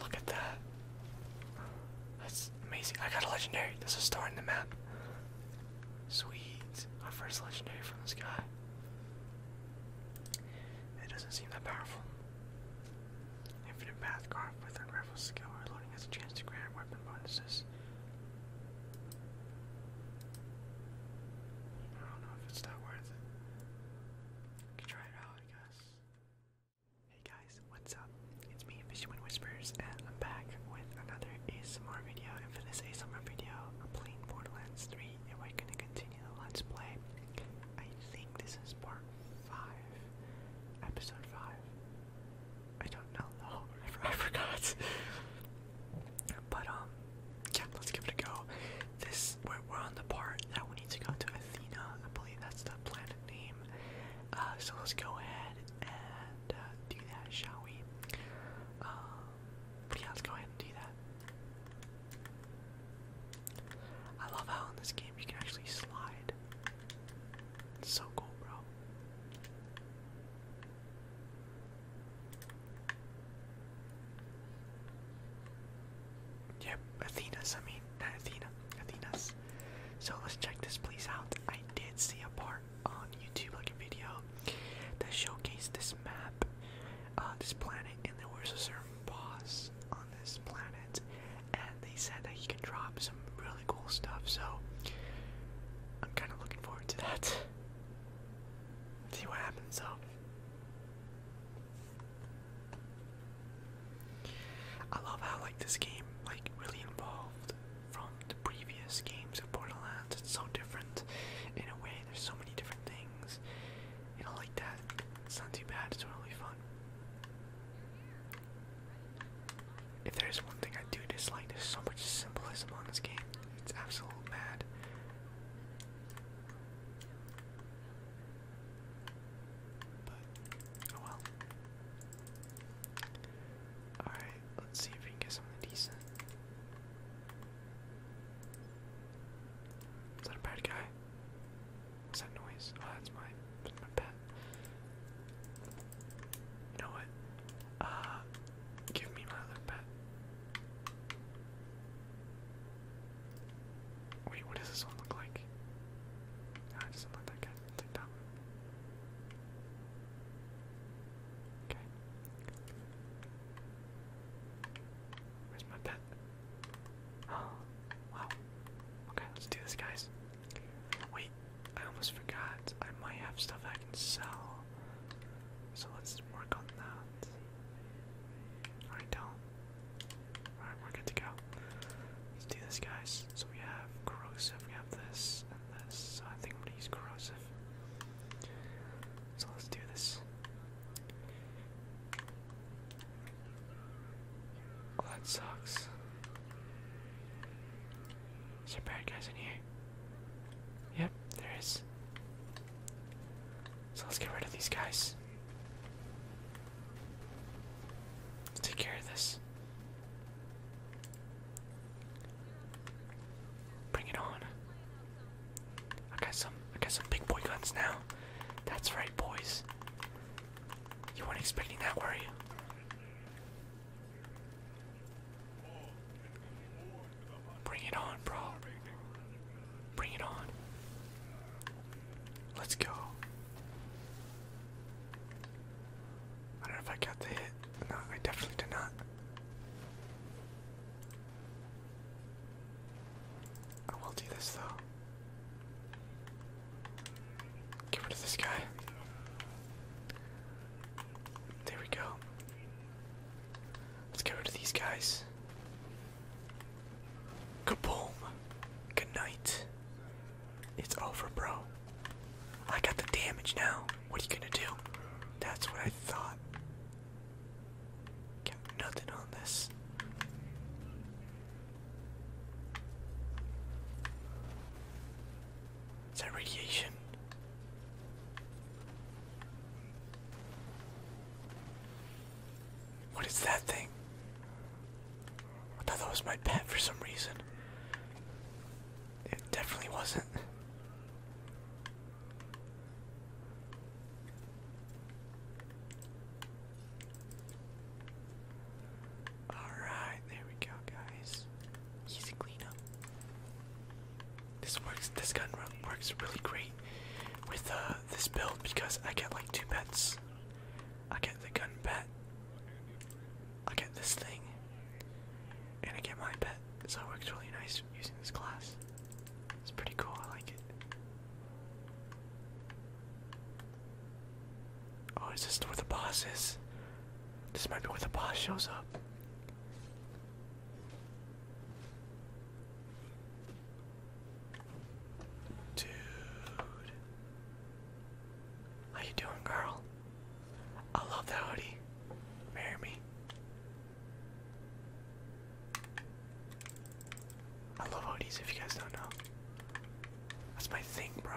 Look at that. That's amazing. I got a legendary. There's a star in the map. Sweet. Our first legendary from the sky. It doesn't seem that powerful. Infinite path carved with unravel skill. Reloading has a chance to grant weapon bonuses. I don't know if it's that worth it. can try it out, I Hey guys, what's up? It's me, Fisherman Whispers, and I'm back with another ASMR video. And for this ASMR video, I'm playing Borderlands 3, and we're gonna continue the Let's Play. I think this is part 5, episode 5. I don't know. I, forgot. but um, yeah, let's give it a go. This we're, we're on the part that we need to go to Athena. I believe that's the planet name. Uh, so let's go ahead and uh, do that, shall we? Um, yeah, let's go ahead and do that. I love how in this game you can actually slide. so cool, bro. Yep, Athena's, I mean, not Athena, Athena's. So let's check this place out. I did see a part on YouTube, like a video, that showcased this map, uh, this planet, and there was a certain boss on this planet, and they said that you can drop some really cool stuff, so I'm kind of looking forward to that. See what happens though. I love how like this game like really evolved from the previous games of Borderlands. It's so different in a way. There's so many different things. You know like that. It's not too bad, it's really fun. If there is one thing I do dislike, there's so much symbolism on this game. It's absolute mad. But oh well. Alright, let's see if we can get something decent. Is that a bad guy? What's that noise? Oh, that's my, pet. know what? Uh, Give me my other pet. Wait, what does this one look like? No, I just let that guy take that one. Okay. Where's my pet? Oh, wow. Okay, let's do this, guys. Wait, I almost forgot. I might have stuff I can sell. So let's work on that. Alright, don't. Alright, we're good to go. Let's do this, guys. So we have corrosive, we have this, and this. So I think I'm corrosive. So let's do this. Oh, that sucks. Is there bad guys in here? Yep, there is. So let's get rid of these guys. take care of this. Bring it on. I got some I got some big boy guns now. That's right boys. You weren't expecting that, were you? Bring it on, bro. Bring it on. Let's go. I don't know if I got the hit. No, I definitely did not. I will do this though. Get rid of this guy. There we go. Let's get rid of these guys. Kaboom! Good night. It's over, bro. I got the damage now. What are you gonna do? That's what I thought. Got nothing on this. Is that radiation? What is that thing? I thought that was my pet for some reason. It definitely wasn't. Alright, there we go, guys. Easy cleanup. This works. This gun works really great with uh, this build because I get like two bets. I get the gun bet. I get this thing, and I get my bet. So it works really nice using this class. It's pretty cool. I like it. Oh, is this where the boss is? This might be where the boss shows up. Dude. How you doing, girl? I love that hoodie. Marry me. I love hoodies if you guys don't know. That's my thing, bro.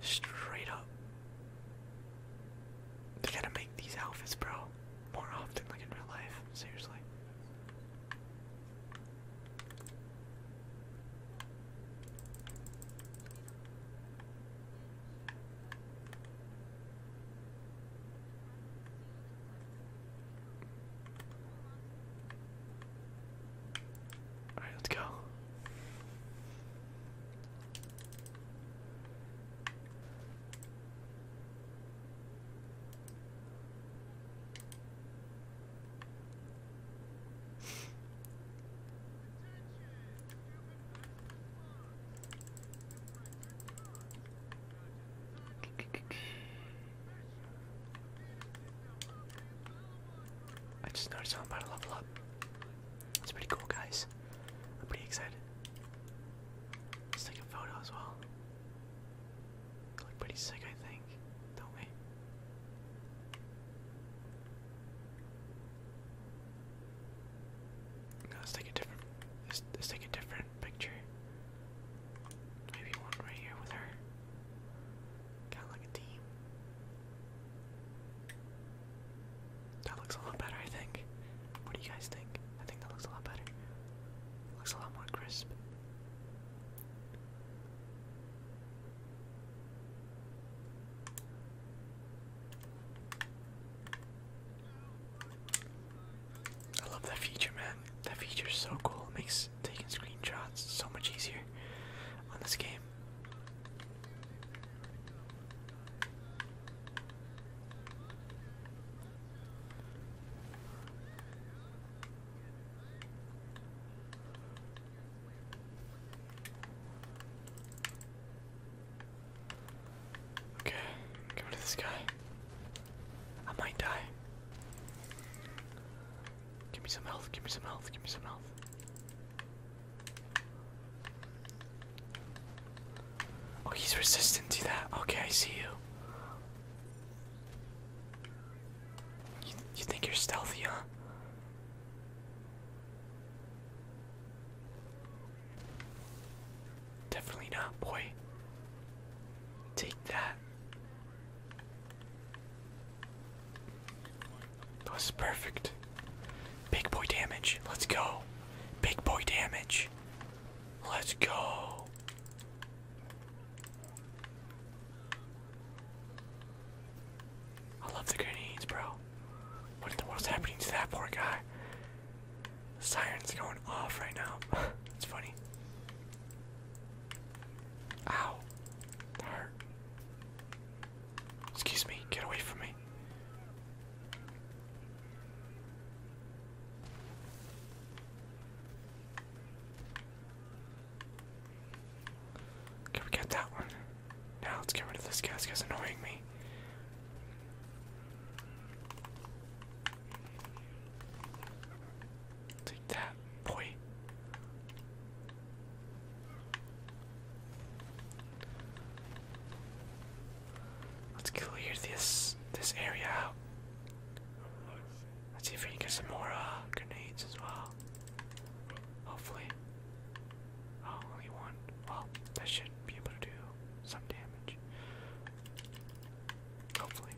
Straight up. They gotta make these outfits, bro, more often, like in real life. Seriously. All right, let's go. I just noticed I'm about to level up. It's pretty cool, guys. I'm pretty excited. Let's take a photo as well. They pretty sick, I think, don't we? let's take a different. let's take a different picture. Maybe one right here with her. Kind of like a team. That looks a lot better, I think. What do you guys think? I think that looks a lot better. looks a lot more crisp. I love that feature, man. That feature's so cool. makes taking screenshots so much easier on this game. Okay, get rid of this guy. I might die. Give me some health, give me some health, give me some health. Oh, he's resistant to that. Okay, I see you. You, think you're stealthy, huh? Definitely not, boy. Take that. That was perfect. Big boy damage. Let's go. Big boy damage. Let's go. I love the grenades, bro. What in the world's happening to that poor guy? siren's going off right now. That's funny. Ow. hurt. Excuse me, get away from me. Can we get that one? Now let's get rid of this guy. annoying me. Take that, boy. Let's clear this this area out. Let's see if we can get some more uh, grenades as well. Hopefully. Oh, only one. Well, that should be able to do some damage. Hopefully.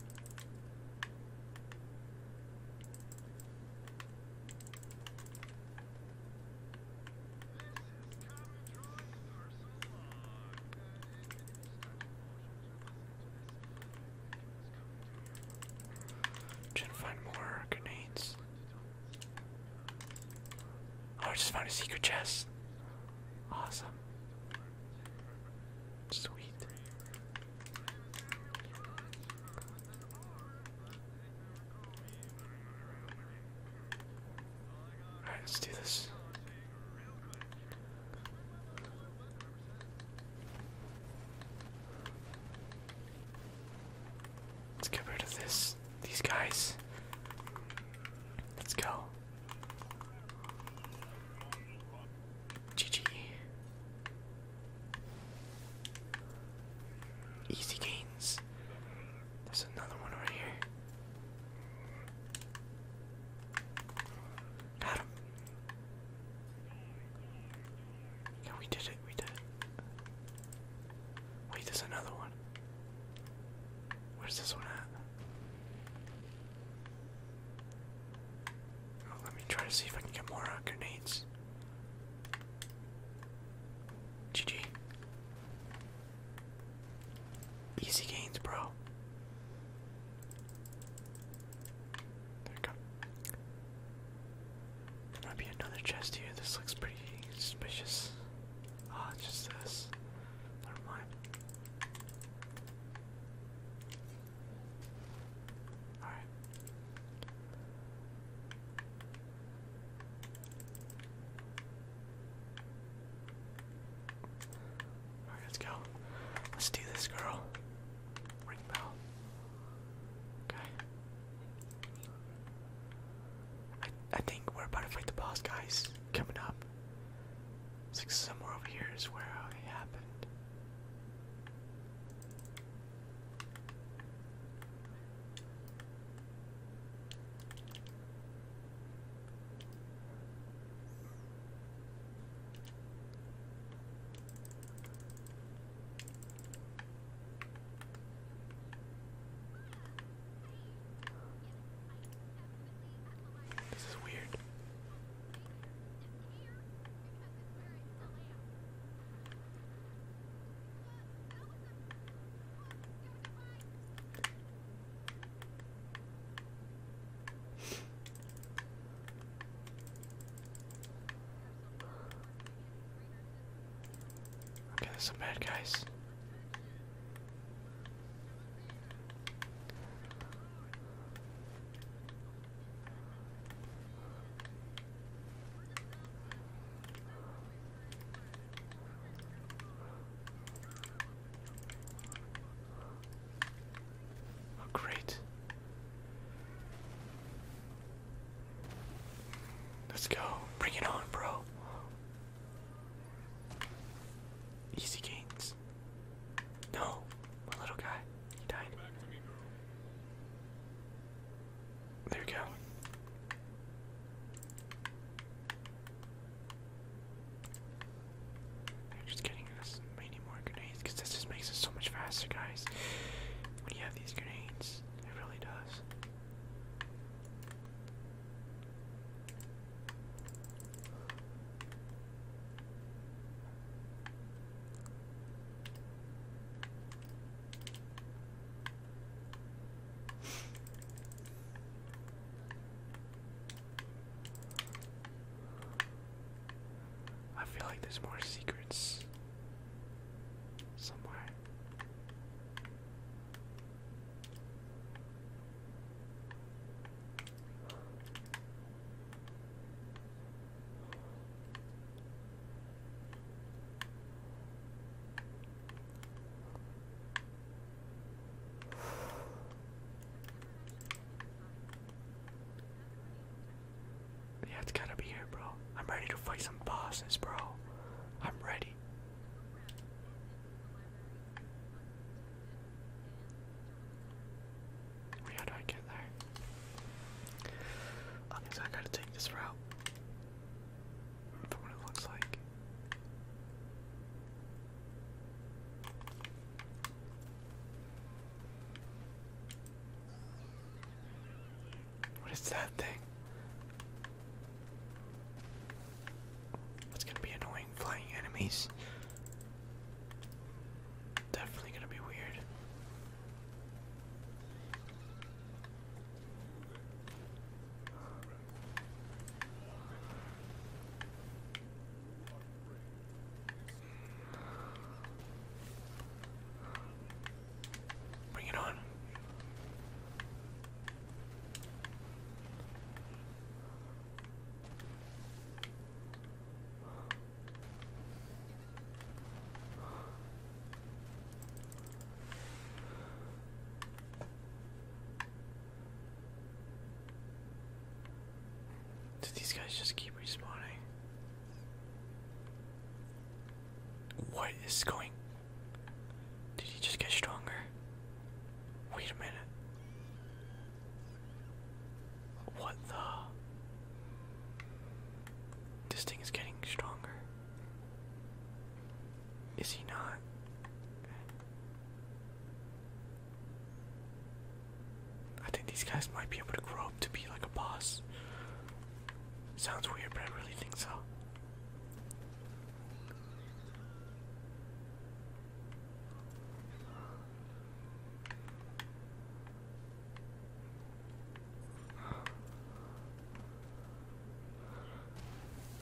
Trying to find more grenades. Oh, I just found a secret chest. Awesome. Sweet. Alright, let's do this. Let's get rid of this these guys. Let's go. GG. Easy gains. There's another one right here. Got Yeah, we did it, we did it. Wait, there's another one. Where's this one at? Oh, let me try to see if I can get more grenades. GG. Easy gains, bro. There we go. might be another chest here. This looks pretty suspicious. Ah, just this. Never mind. Alright. Alright, let's go. Let's do this, girl. Ring bell. Okay. I I think we're about to fight the boss, guys. Coming up. It's like somewhere over here is where it happened. This is weird. Okay, there's some bad guys. Oh, great. Let's go. Bring it on, bro. Easy gains. No, my little guy. He died. There we go. just getting us many more grenades because this just makes us so much faster, guys. When you have these grenades, it really does. I feel like there's more secrets somewhere. Yeah, it's gotta be here, bro. I'm ready to fight some bosses, bro. I'm ready. how do I get there? Okay, so I gotta take this route what it looks like. What is that thing? It's gonna be annoying flying enemies. Definitely gonna be weird. Bring it on. Did these guys just keep respawning? What is going? Did he just get stronger? Wait a minute. What the? This thing is getting stronger. Is he not? I think these guys might be able to grow up to be like a boss. Sounds weird, but I really think so.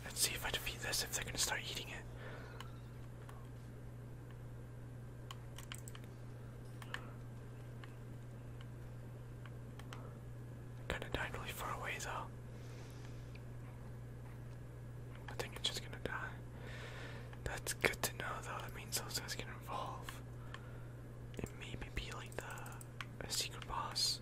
Let's see if I defeat this, if they're gonna start eating it. kinda died really far away though. I think it's just gonna die. That's good to know though, that means those guys can evolve. And maybe be like the a secret boss.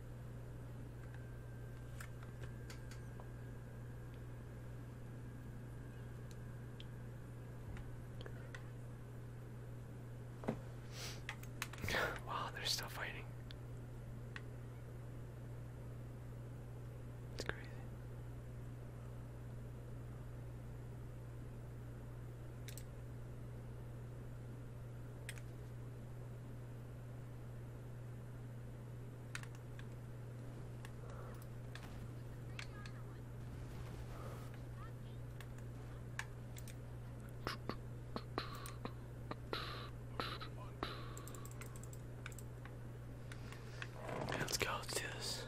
wow, they're still fighting. It's crazy. Let's go, let's do this.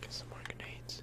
Get some more grenades.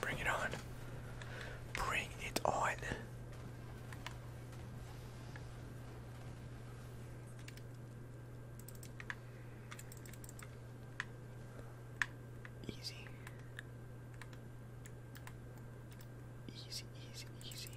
Bring it on. Bring it on. Easy. Easy, easy, easy.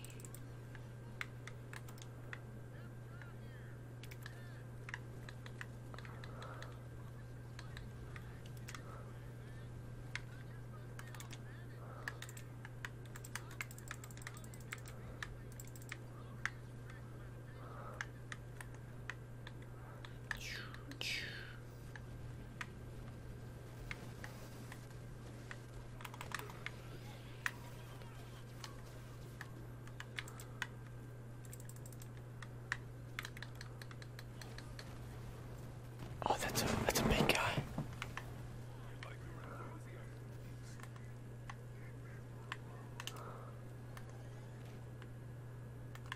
Oh, that's a that's a big guy.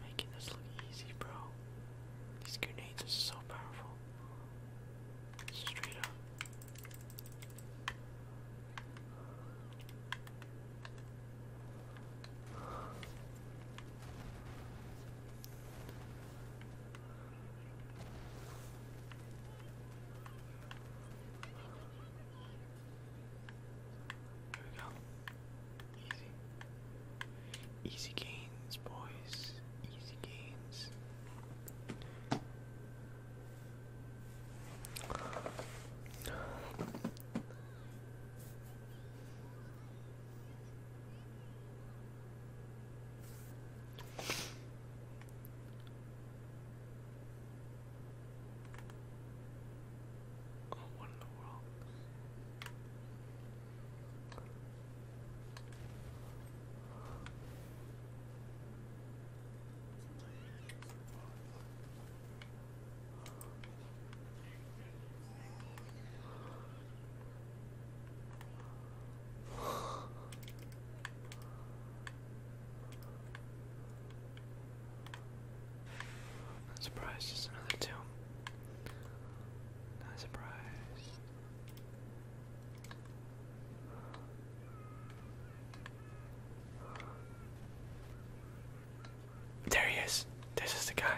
Making this look easy, bro. These grenades are so powerful. Straight up. There we go. Easy. Easy gains, boys. Easy gains. Oh, in the world? Surprise, just another two. Not surprised. There he is. This is the guy.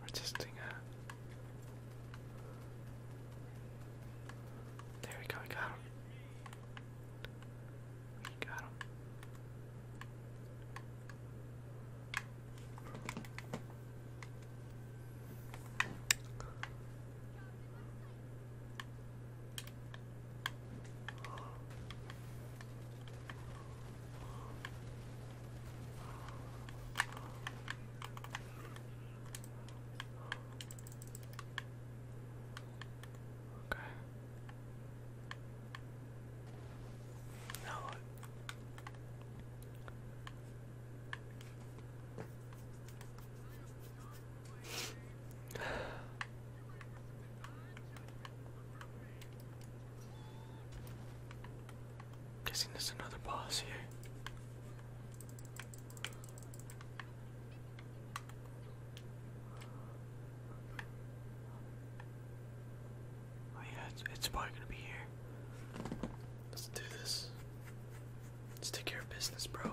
We're testing out. There we go, we got him. We got him. Okay. Now what? Guessing there's another boss here. Oh yeah, it's, probably gonna be here. Let's do this. Let's take care of business, bro.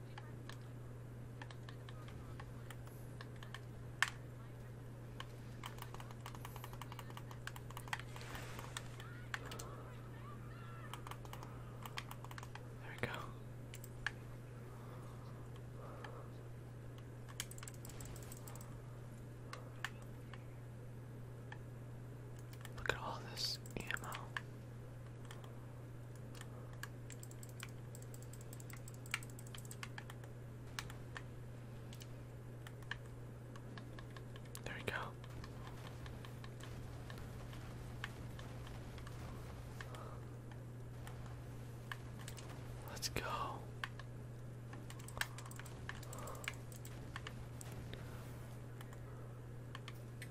There we go. Look at all this ammo. There we go. Let's go.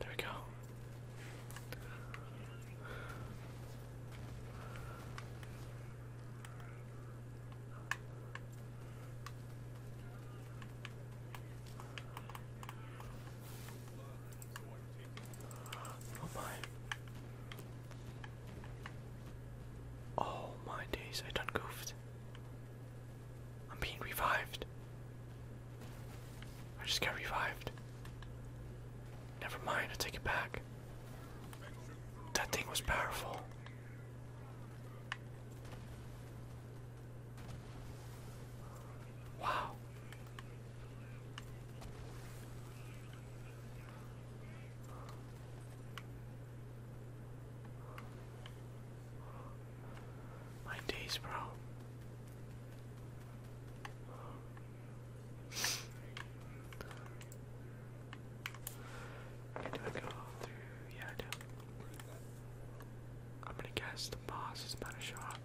There we go. Oh my. Oh my days, I done goofed. I'm being revived. I just got revived. Never mind, I take it back. That thing was powerful. Wow. My days, bro. do I go through? Yeah, I do. I'm gonna guess the boss is not a shot.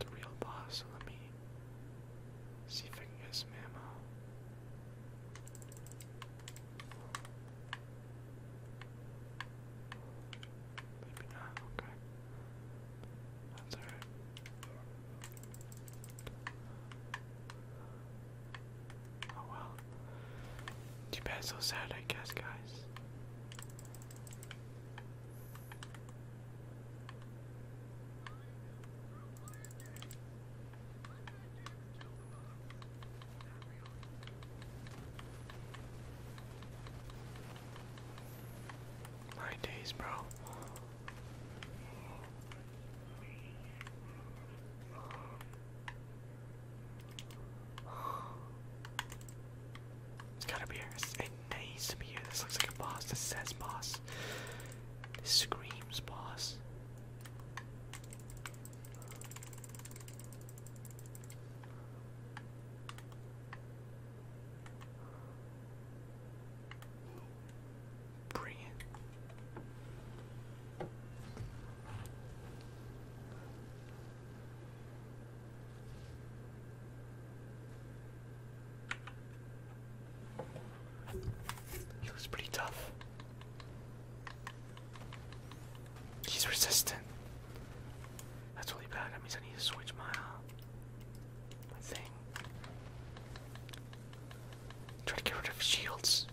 The real boss, let me see if I can get some Maybe not, okay. That's alright. Oh well. Too bad, so sad, I guess, guys. Nine days, bro. It's gotta be here. it needs to be here. This looks like a boss. This says boss. This screams boss. Bring it. He looks pretty tough. He's resistant. That's really bad. That means I need to switch my, uh, thing. Try to get rid of shields.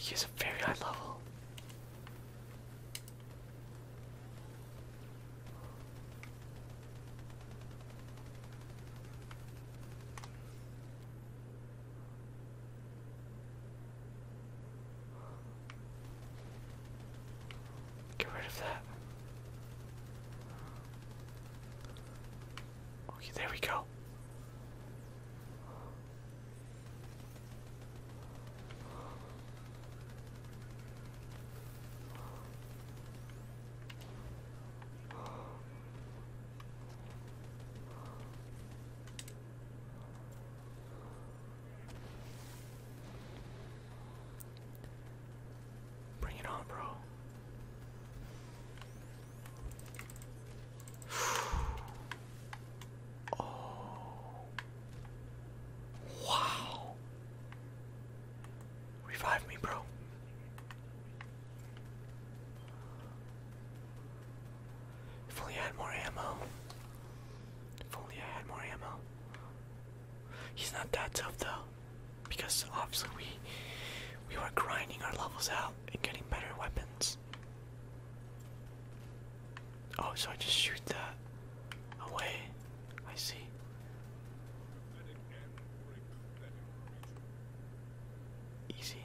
He is a very high level. Get rid of that. Okay, there we go. Bring it on, bro. oh. Wow. Revive me, bro. If only I had more ammo. If only I had more ammo. He's not that tough though, because obviously we we were grinding our levels out and getting better weapons. Oh, so I just shoot that away. I see. Easy.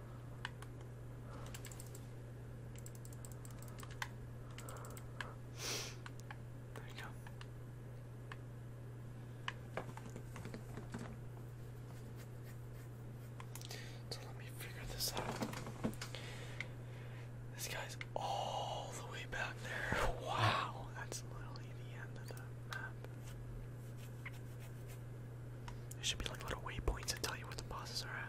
There you go. So let me figure this out. This guy's all the way back there. Wow, that's literally the end of the map. There should be like little waypoints that tell you where the bosses are at.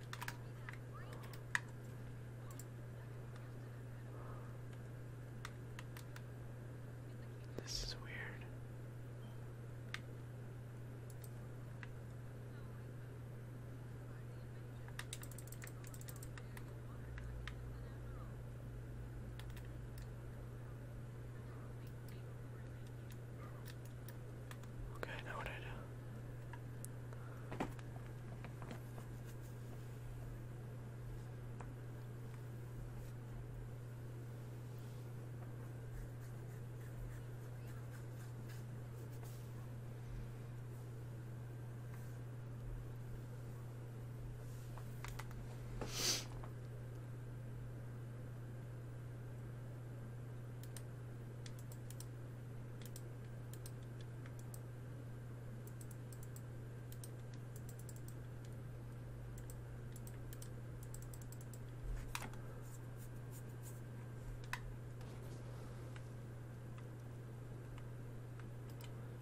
This is weird. Okay, now what do I do?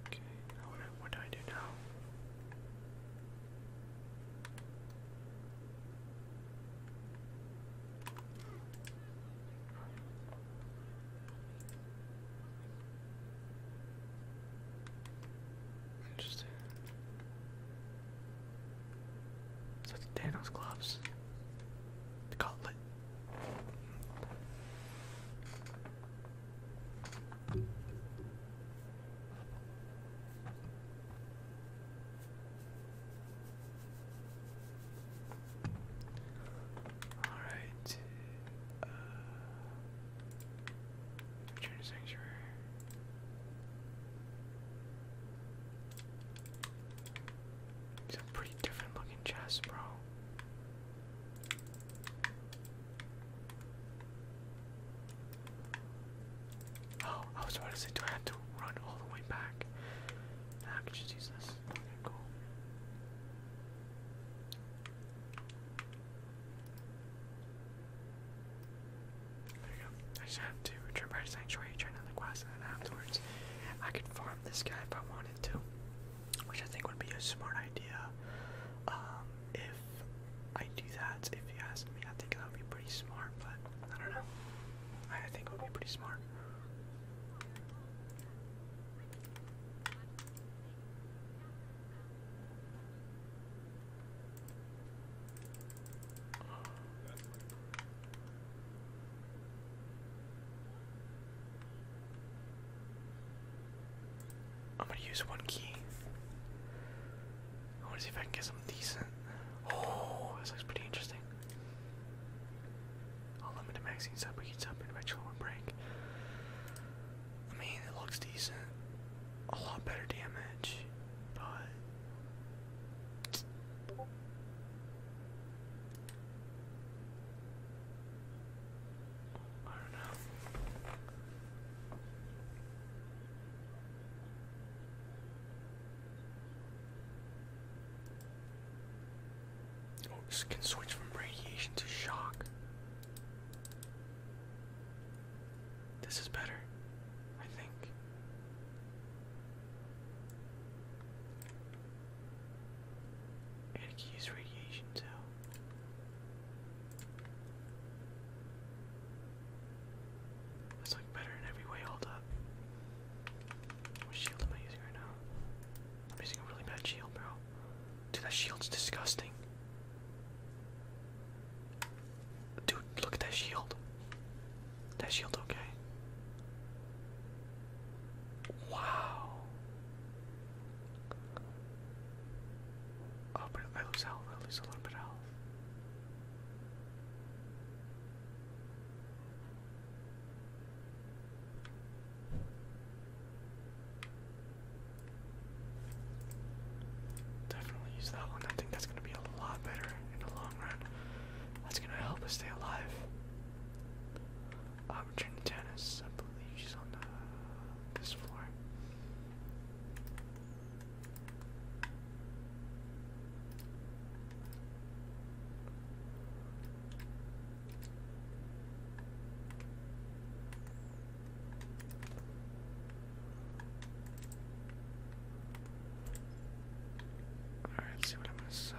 Okay, now what, what do I do now? Interesting. Is that gloves? The gauntlet. All right. Uh, sanctuary. It's a pretty different looking chest, bro. Oh, I was about to say, do I have to run all the way back? I could just use this. There you go. I just have to return back Sanctuary, turn on quest, and afterwards I could farm this guy if I wanted to. Which I think would be a smart idea. Um, if I do that, if you ask me, I think that would be pretty smart, but I don't know. I think it would be pretty smart. I'm gonna use one key. I wanna see if I can get some decent. Oh, this looks pretty interesting. I'll limit the maxing sub, we heats up one break. I mean, it looks decent. A lot better damage, but. I don't know. Oh, this can switch from radiation to shock. This is better, I think. And use radiation too. That's like better in every way, hold up. What shield am I using right now? I'm using a really bad shield, bro. Dude, that shield's disgusting. Dude, look at that shield. That shield okay. Wow. Oh, but I lose health. I lose a little bit of health. Definitely use that one. I think that's going to be a lot better in the long run. That's going to help us stay alive. Um, Trinitanis, I believe she's on this floor. All see what I'm gonna sell.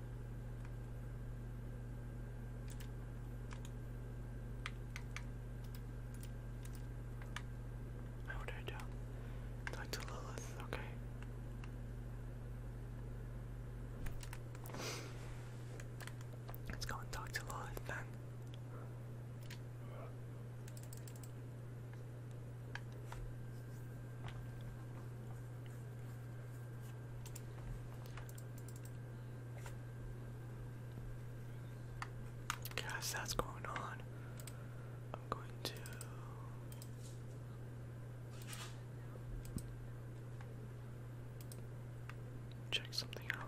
How would I tell? Talk to Lilith, okay. Let's go and talk to Lilith then. Guess that's going on. I'm going to. Check something out.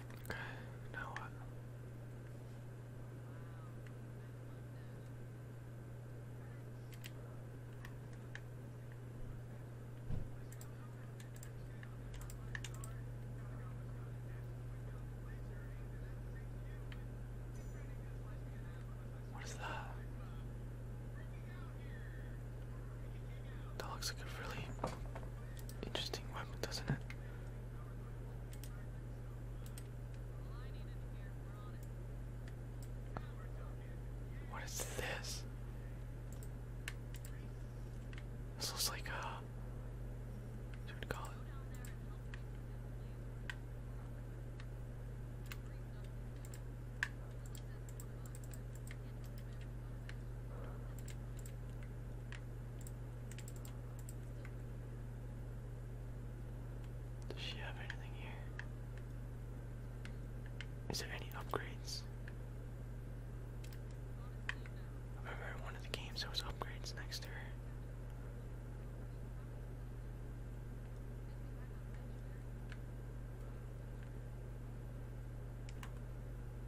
Okay, now what? What is that? That looks like a really interesting weapon, doesn't it? What is this? This looks like a. What would call it? Does she have anything here? Is there any upgrades? I remember one of the games there upgrades next to her.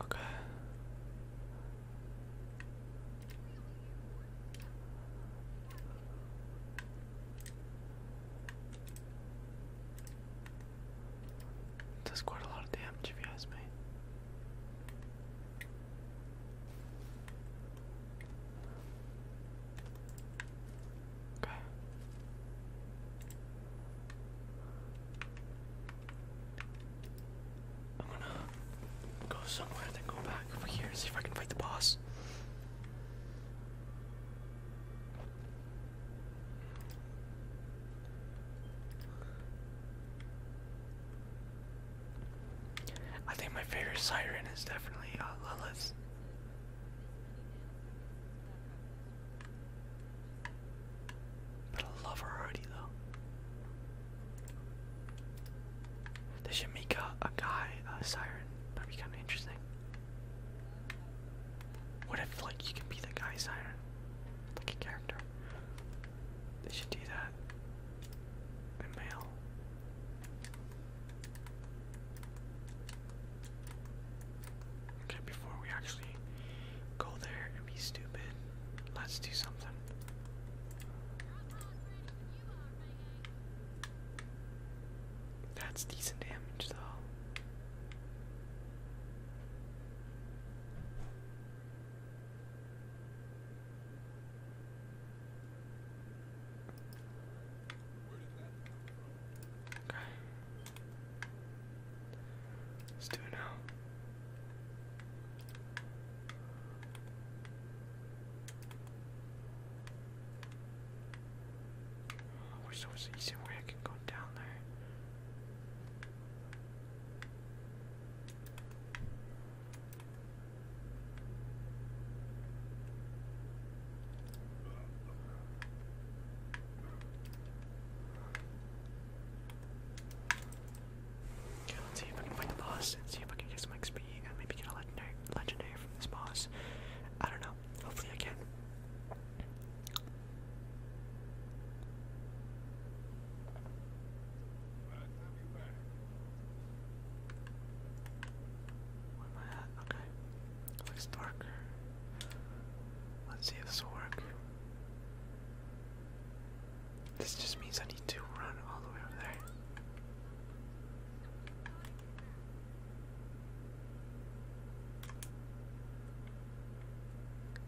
Okay. Does quite a lot of damage if you ask me. I'm gonna go somewhere and then go back over here and see if I can fight the boss. I think my favorite siren is definitely uh, Lilith. But I love her already though. They should make a, guy siren. That'd be kind of interesting. What if like you can be the guy siren, like a character? They should do that mail. Okay, before we actually go there and be stupid, let's do something. That's decent damage, though. Okay. Let's do it now. Oh, I wish there was an way I can go down there. Okay, let's see if I can find the boss and see if I can get some XP and maybe get a legendary, legendary from this boss. I don't know. Hopefully I can. Okay. looks darker. Let's see if this will work. This just means I need to run all the way over there.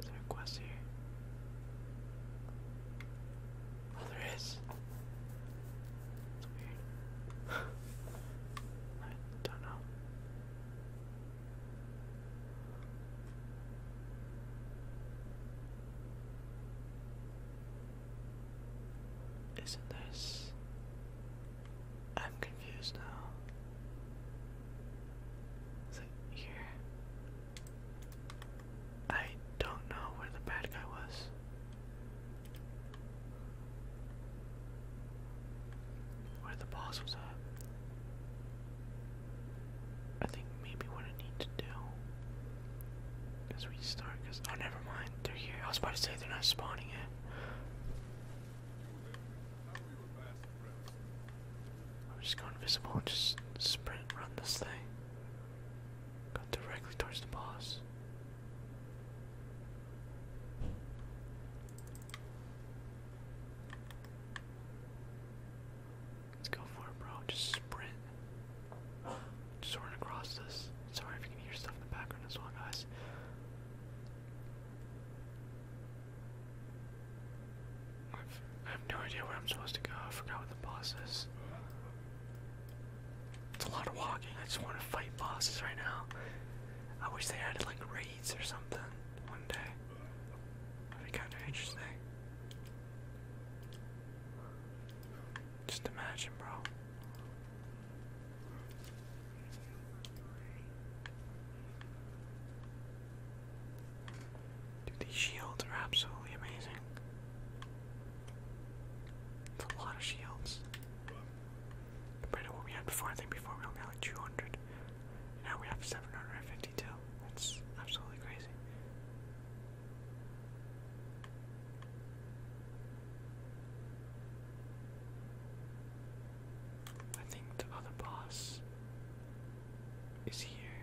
Is there a quest here? Oh, there is. weird. I don't know. Isn't this? I'm confused now. Is it here? I don't know where the bad guy was. Where the boss was at. I think maybe what I need to do is we oh never mind, they're here. I was about to say they're not spawning yet. I'm just go invisible and just sprint run this thing. Go directly towards the boss. Let's go for it, bro. Just sprint. Just run across this. Sorry if you can hear stuff in the background as well, guys. I have no idea where I'm supposed to go. I forgot what the boss is. It's a lot of walking. I just want to fight bosses right now. I wish they added like raids or something one day. That'd be kind of interesting. Just imagine, bro. Dude, these shields are absolutely amazing. It's a lot of shields. Compared to what we had before, I think before we only had like 200. Now we have 752. That's absolutely crazy. I think the other boss is here.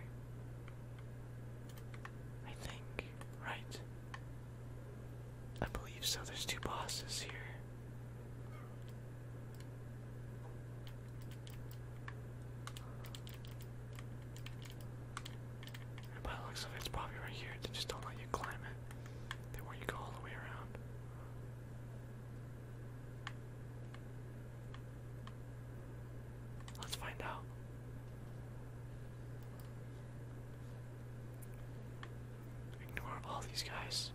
I think, right? I believe so. There's two bosses here. And by the looks of it, it's probably right here. They just don't let you climb it. They want you to all the way around. Let's find out. Ignore all these guys.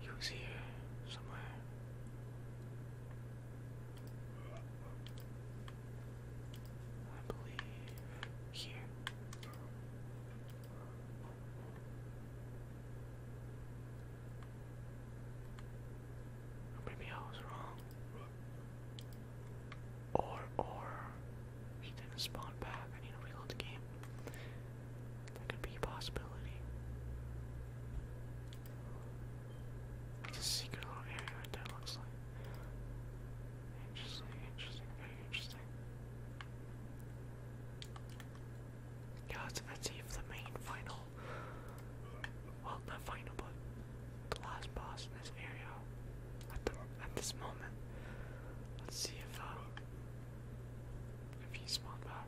He was here somewhere. I believe here. Maybe I was wrong. Or, or, he didn't spawn back. I need to reload the game. That could be a possibility. It's a secret little area right looks like. Interesting, interesting, very interesting let's see if the main final. Well, not final, but the last boss in this area. At the at this moment, let's see if uh, if he spawned back.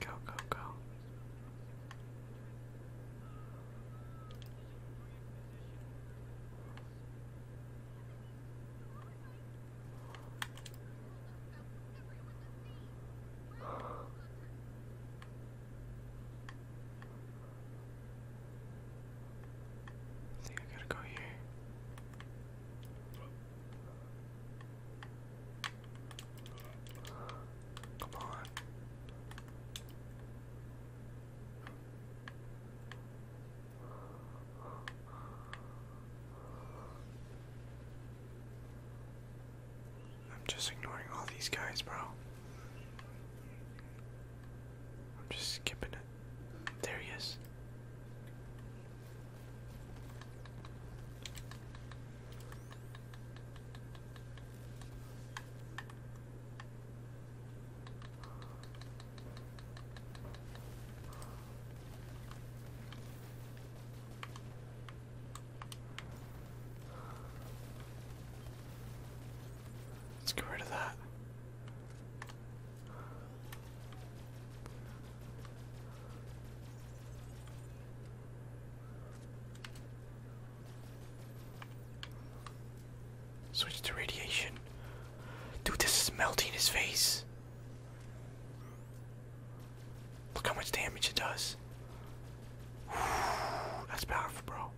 Go, go, go. I think I gotta go here. Come on. I'm just ignoring all these guys, bro. I'm just skipping it. There he is. Let's get rid of that. Switch to radiation. Dude, this is melting his face. Look how much damage it does. that's powerful, bro.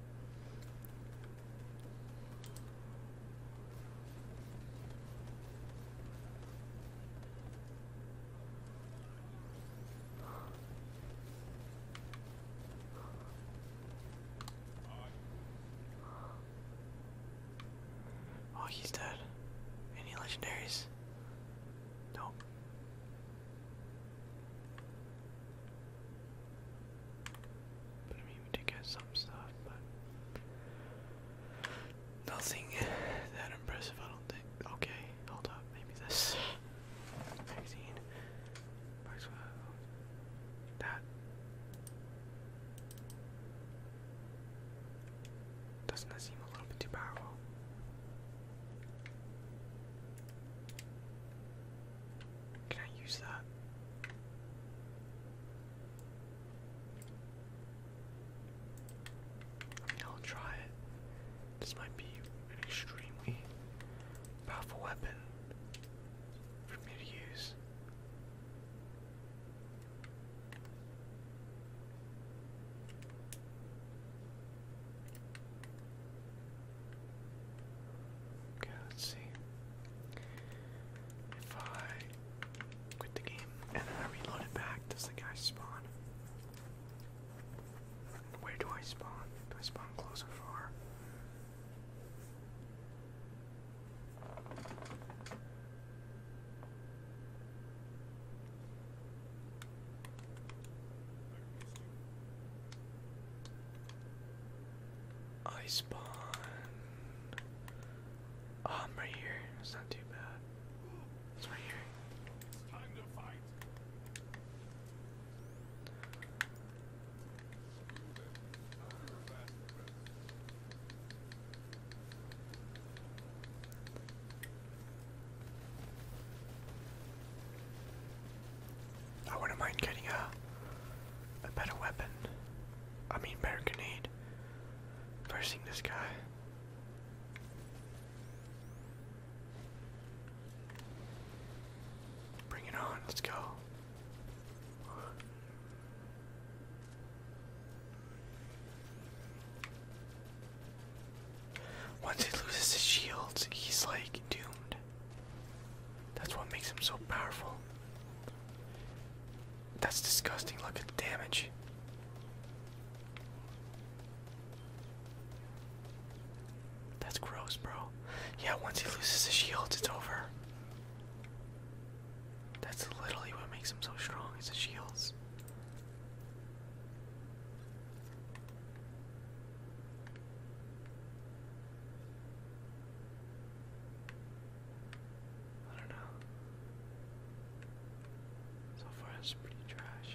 Oh, he's dead. Any legendaries? Nope. I mean, we did get some stuff, but Nothing that impressive, I don't think. Okay, hold up. Maybe this magazine. That doesn't that seem a little bit too powerful? Can I use that? I'll try it. This might be an extremely powerful weapon for me to use. Okay, let's see. If quit the game, and then I reload it back. Does the guy spawn? Where do I spawn? Do I spawn close or far? I spawn. Oh, I'm right here. It's not too bad. I wouldn't mind getting a a better weapon. I mean better grenade. Versing this guy. Bring it on, let's go. Once he loses his shields, he's like doomed. That's what makes him so powerful. That's disgusting. Look at the damage. That's gross, bro. Yeah, once he loses his shields, it's over. That's literally what makes him so strong, is his shields. I don't know. So far, it's pretty trash.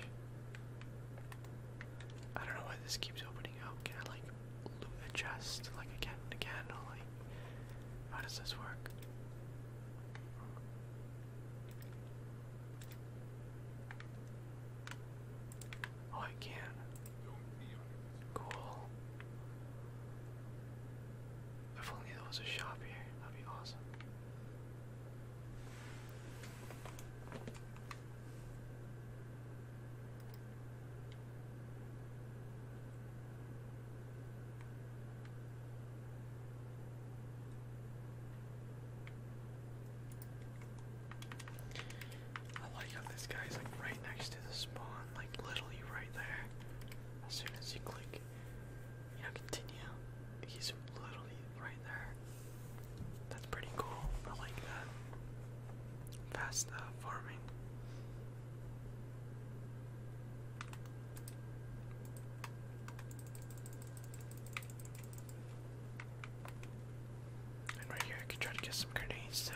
I don't know why this keeps opening up. Can I like loot like again and again, or like how does this work? Oh, I can. Cool. If only there was a shop here, that'd be awesome. I like how this guy's like right next to the spawn, like literally right there. As soon as you click you know, continue. He's literally right there. That's pretty cool. I like that. Fast uh, farming. And right here, I could try to get some grenades too.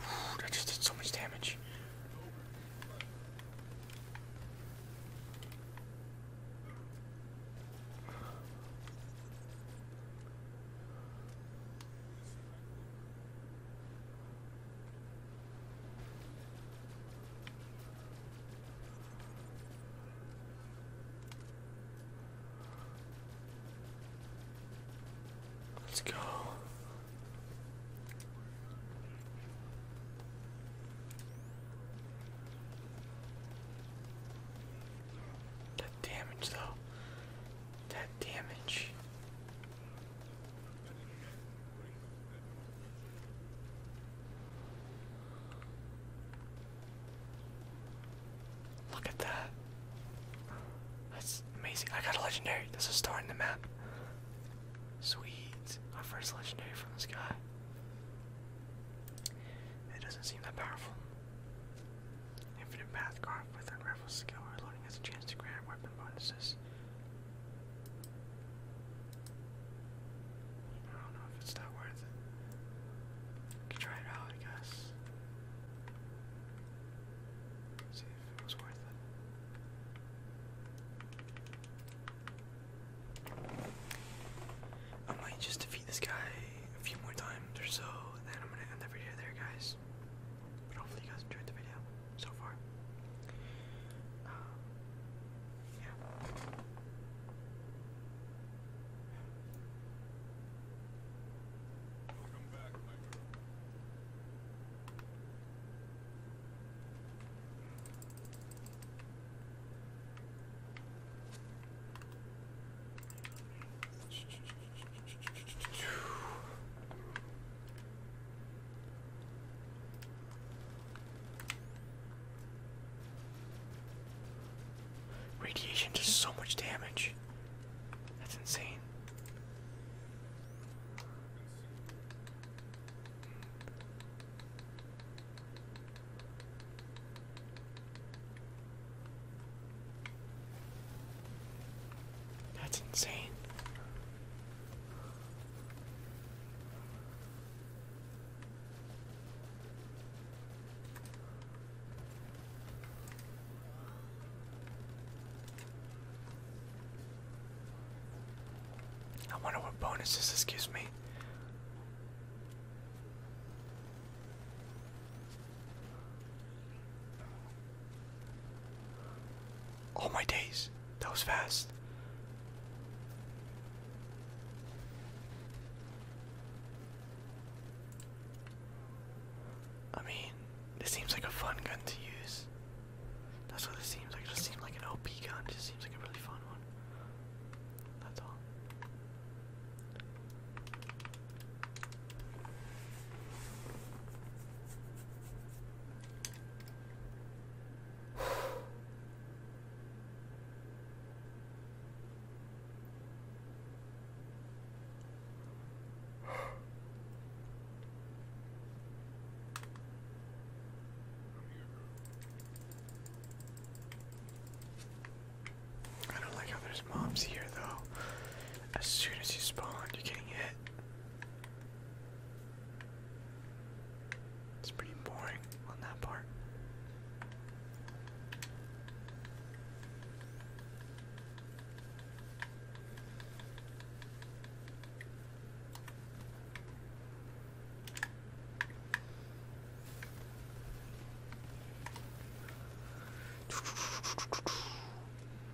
Whew, that just did so much damage. Let's go. That damage though that damage. Look at that. That's amazing. I got a legendary. There's a star in the map. Sweet. Our first legendary from this guy. It doesn't seem that powerful. Infinite path carved with a skill or loading has a chance to grant weapon bonuses. I don't know if it's that worth it. I try it out, I guess. See if it was worth it. I might just defeat this guy a few more times or so, then I'm gonna end the video there, guys. But hopefully you guys enjoyed the video so far. Um, yeah. Radiation does so much damage. That's insane. That's insane. I wonder what bonuses this gives me. Oh my days, that was fast. I mean, this seems like a fun gun to use. That's what it seems like. just seems like an OP gun. just seems like a really fun one. That's all. I don't like how there's Mom's here though. As soon as you spawn, you're getting hit. It's pretty boring on that part.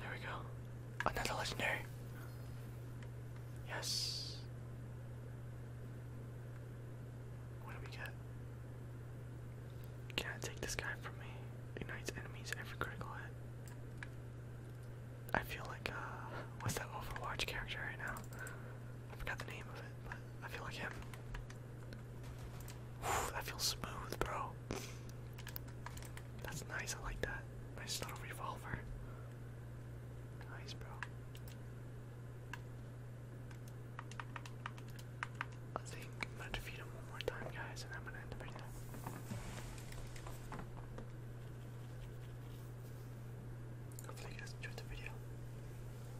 There we go. Another legendary. Yes. What do we get? Can I take this guy from me? Ignites enemies every critical hit. I feel like, uh, what's that Overwatch character right now? I forgot the name of it, but I feel like him that feels smooth, bro. That's nice, I like that. Nice little revolver. Nice, bro. I think I'm gonna defeat him one more time, guys, and I'm gonna end the video. Hopefully you guys enjoyed the video.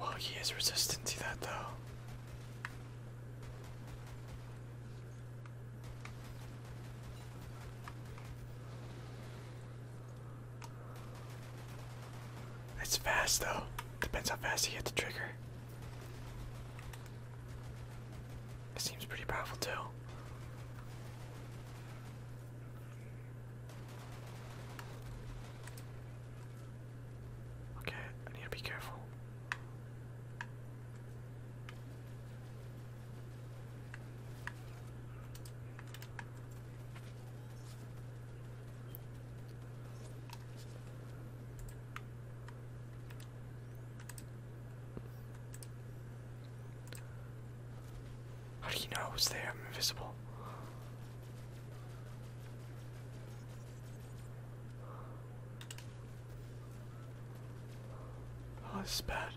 Well, he is resistant to that, though. It's fast, though. Depends how fast you hit the trigger seems pretty powerful too. Okay, I need to be careful. How do you know I was there? I'm invisible. Oh, this is bad.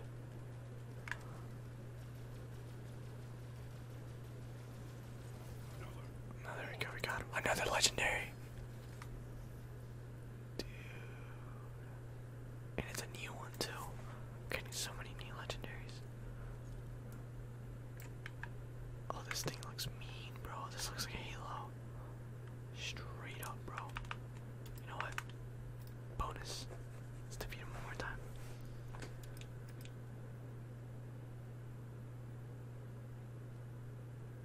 No, there we go, we got Another legendary. Dude. And it's a new one too. Getting so many new legendaries. Oh, this thing looks mean, bro. This looks like a Halo. Straight up, bro. You know what? Bonus. Let's defeat him one more time.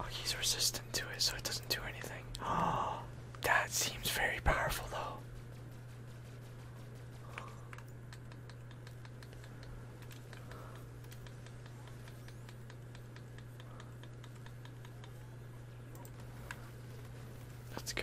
Oh, he's resistant to it, so it doesn't do anything. Oh, that seems very powerful, though. Let's go.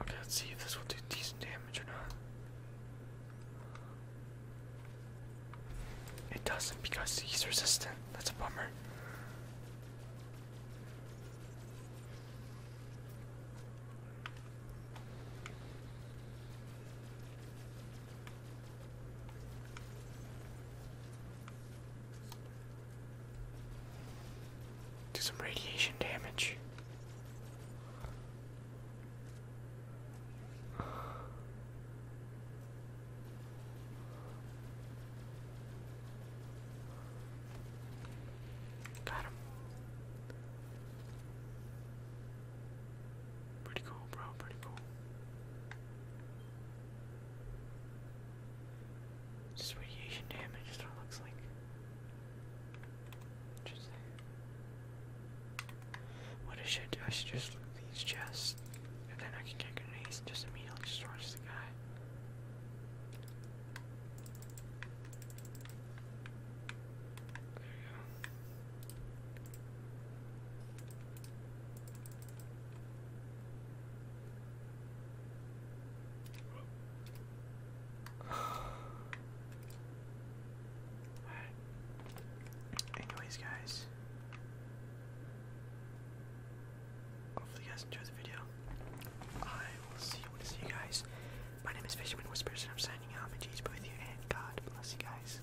Okay, let's see if this will do decent damage or not. It doesn't because he's resistant. That's a bummer. Do some radiation damage. Got him. Pretty cool, bro. Pretty cool. Just radiation damage is what it looks like. Interesting. What I should do, I should just loot these chests, and then I can take grenades and just immediately just rush the guy. There you go. Anyways, guys. Hopefully, you guys enjoy the video. I will see you when I see you guys. My name is Fisherman Whispers, and I'm signing out. May Jesus be with you, and God bless you guys.